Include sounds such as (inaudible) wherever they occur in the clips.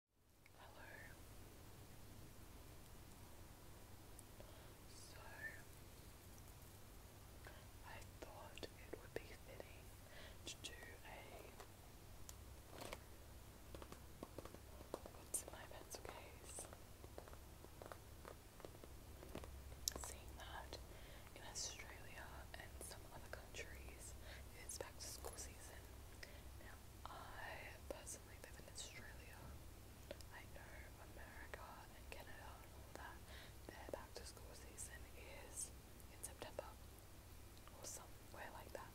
Hello. So, I thought it would be fitting to do a. What's in my pencil case? Seeing that in Australia and some other countries, it's back to school season. I personally live in Australia. I know America and Canada and all that. Their back to school season is in September or somewhere like that.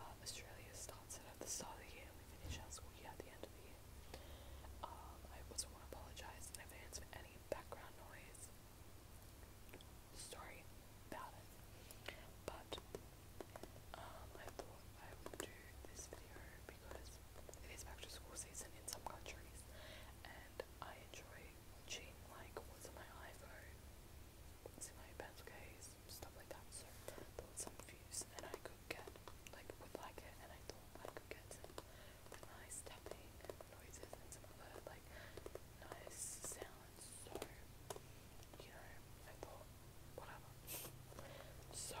But Australia starts at the start of the year we finish our school year at the end of the year. Um, I also want to apologise in advance for any background noise story about it. But um, I thought I would do this video because it is back to school season in some countries, and I enjoy watching like what's in my iPhone, what's in my pencil case, stuff like that. So thoughts and views, and I could get like would like it, and I thought I could get some nice tapping noises and some other like nice sounds balance. So, you know, I thought, whatever. So,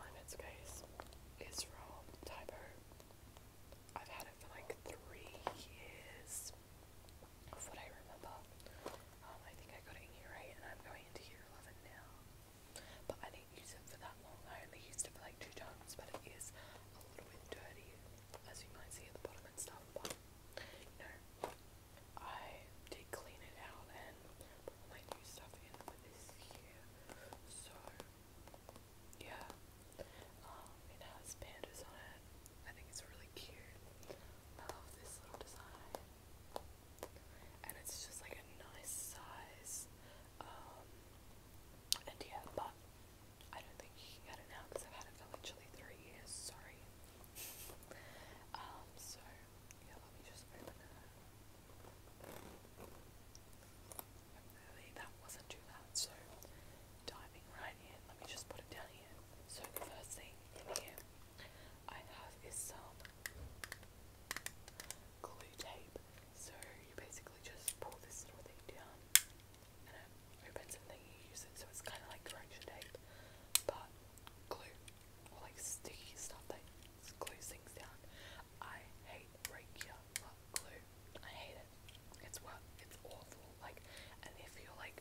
my next is from Typo. I've had it for like three years, of what I remember. Um, I think I got it in year 8 and I'm going into year 11 now. But I didn't use it for that long, I only used it for like two times, but it is a little bit dirty as you might see at the bottom and stuff, but you know, I did clean it out and put all my new stuff in for this year, so yeah, um, it has pandas on it, I think it's really cute, I love this little design, and it's just like a nice size, um, and yeah, but I don't think I can get it because I've had it for literally three years. Sorry. (laughs) Um, so yeah, let me just open it. that wasn't too loud. So diving right in, let me just put it down here. So the first thing in here I have is some glue tape. So you basically just pull this little thing down and it opens and then you use it. So it's kind of like correction tape, but glue or like sticky stuff that glues things down. I hate regular glue. I hate it. It's what it's awful. Like, and if you're like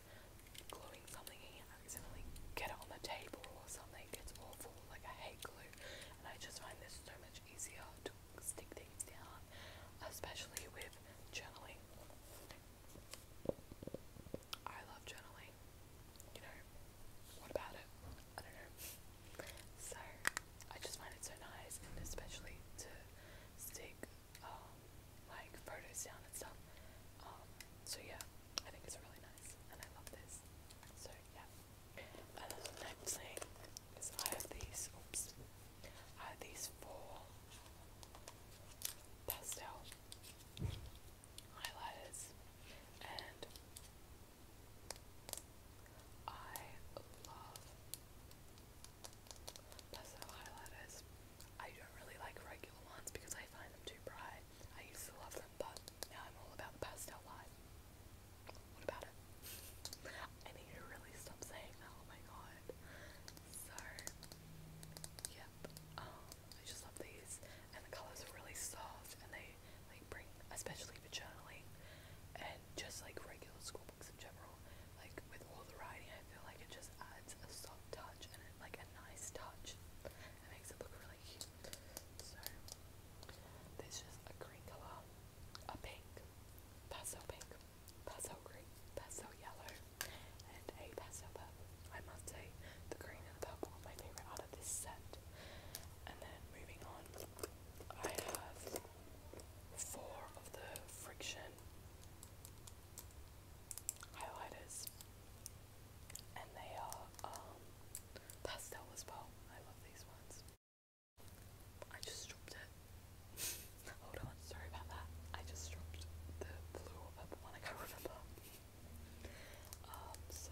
gluing something and you accidentally get it on the table or something, it's awful. Like, I hate glue, and I just find this so much easier to stick things down, especially with journaling. I love journaling. You know, what about it? I don't know. So, I just find it so nice, and especially to stick um, like photos down and stuff. Um, so, yeah, I think it's really nice, and I love this. So, yeah. And the next thing is I have these are these four pastel highlighters, and I love pastel highlighters. I don't really like regular ones because I find them too bright. I used to love them, but now I'm all about the pastel light. What about it? I need to really stop saying that. Oh my god. So, yep. Um, I just love these, and the colors are really soft, and they like bring, especially for journaling, and just like regular school books in general. Like with all the writing, I feel like it just adds a soft touch and it, like a nice touch. It makes it look really cute. So, there's just a green color, a pink, pastel pink, pastel green, pastel yellow, and a pastel purple. I must say, the green and the purple are my favourite out of this set. And then moving on, I have four of the Friction highlighters, and they are um, pastel as well. I love these ones. I just dropped it. Hold on, sorry about that. I just dropped the blue or purple one, I can't remember. Um, so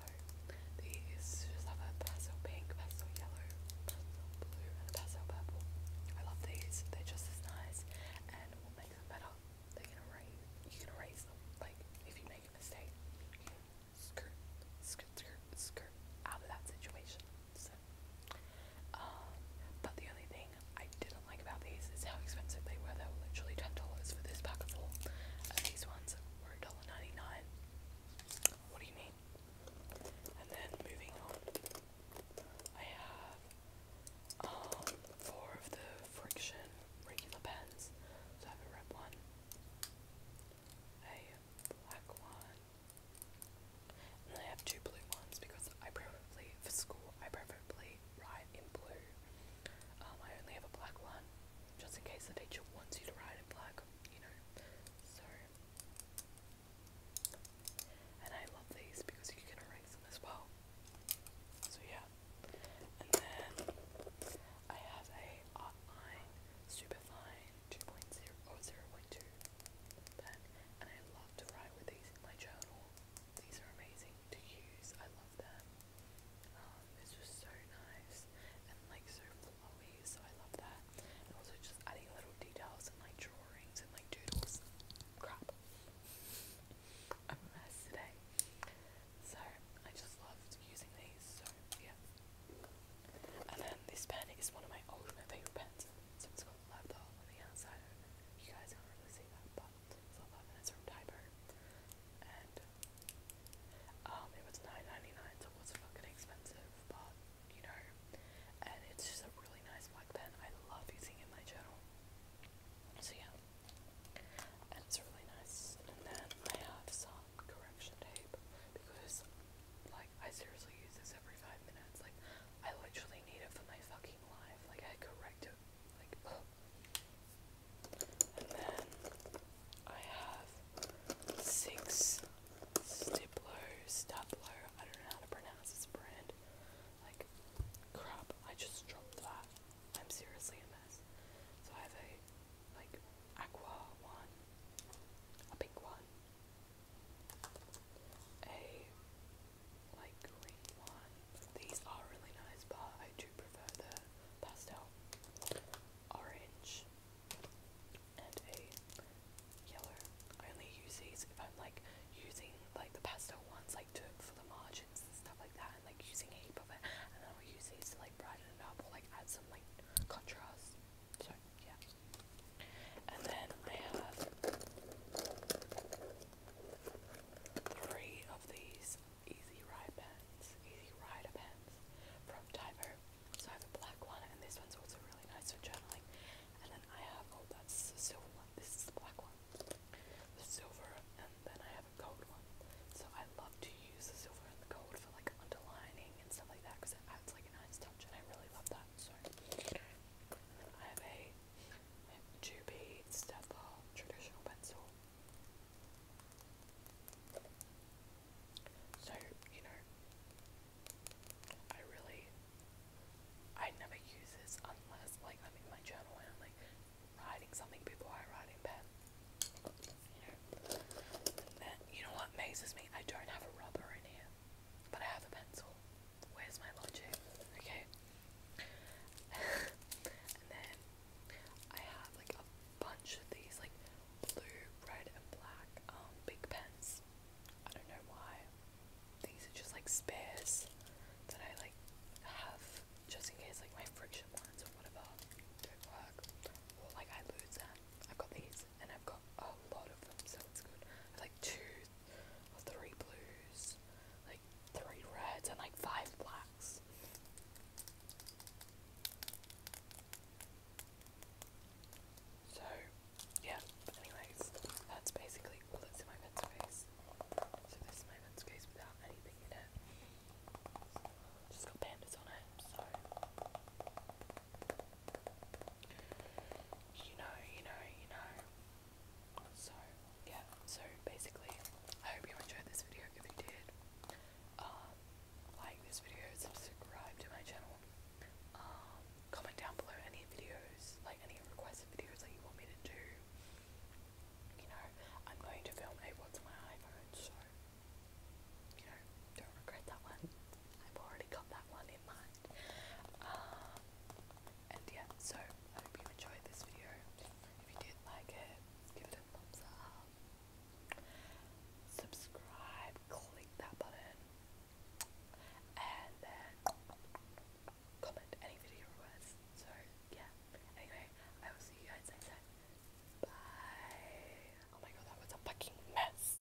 these just have a pastel pink, pastel yellow, pastel blue, and a purple. I love these, they're just as nice and what makes them better, they can erase you can erase them. Like if you make a mistake, skirt, skirt, skirt, skirt out of that situation ones. Um, but the only thing I didn't like about these is how expensive they were. They were literally ten dollars for this pack of four. And these ones were $1.99. What do you mean? And then moving on, I have um, four of the friction regular pens. So I have a red one, a black one, and I have two blue ones because I preferably, for school, I preferably write in blue. Um, I only have a black one, just in case the teacher wants you to write in black, you know. So, and I love these because you can erase them as well. So yeah, and then I have a Artline uh, Superfine 2.0 or 0.5 pointer pen, and I love to write with these in my journal. These are amazing to use. I love them. Um, it's just so nice and like so flowy. So I love that. And also just adding little details and like drawings and like doodles. Crap. I'm a mess today. So I just loved using these, so yeah. And then this pen is one of my old, favourite pens. So it's got love the hole on the outside. You guys don't really see that, but it's 11. It's from Diaper. And um, it was $9.99, so it was fucking expensive, but you know. And it's just a really nice black pen. I love using it in my journal. So yeah. And it's really nice. And then I have some correction tape because, like, I seriously use this every five minutes. Like, I literally need it for my fucking life. Like, I correct it. Like, And then I have six Stiplo, Staplo, I don't know how to pronounce this brand. Like, crap, I just dropped that. I'm seriously a mess. So I have a, like, aqua one, a pink one, a like green one. These are really nice, but I do prefer the pastel orange and a yellow. I only use these if I'm like using like the pastel ones, like to for the margins and stuff like that, and like using a heap of it, and then I'll use these to like brighten it up or like add some like contrast. Sorry, yeah. And then I have three of these Easy Ride pens, Easy Rider pens from Diver. So I have a black one, and this one's also really nice for journaling. And then I have, oh, that's the silver one. This is the black one. The silver, and then I have a gold one. So I love to use the silver and the gold for like underlining and stuff like that because it adds like a nice touch, and I really love that. Sorry. I have a Juby Stepbar traditional pencil. So, you know, I really, I never use this unless, like, I'm in my journal and I'm, like, writing something before I write in pen. You know, and you know what amazes me? I don't have a rubber in here. But I have a pencil. Where's my lunch? Okay. (laughs) and then I have like a bunch of these like blue, red and black um big pens. I don't know why. These are just like spares that I like have just in case like my friction ones or whatever don't work. Or like I lose them. I've got these and I've got a lot of them so it's good. like two or three blues, like three reds, and like five blacks. So, yeah, anyways, that's basically all that's in my vent space. So, this is my vent space without anything in it. Just got pandas on it, so. You know, you know, you know. So, yeah, so basically, I hope you enjoyed this video. If you did, um, like this video, subscribe to my channel, um, comment down below any videos, like any requested videos that you want me to do. You know, I'm going to film a what's my iPhone, so, you know, don't regret that one. I've already got that one in mind. Um, and yeah, so I hope you enjoyed this video. If you did like it, give it a thumbs up. Subscribe, click that button, and then comment any video requests. So yeah. Anyway, I will see you guys next time. Bye. Oh my god, that was a fucking mess.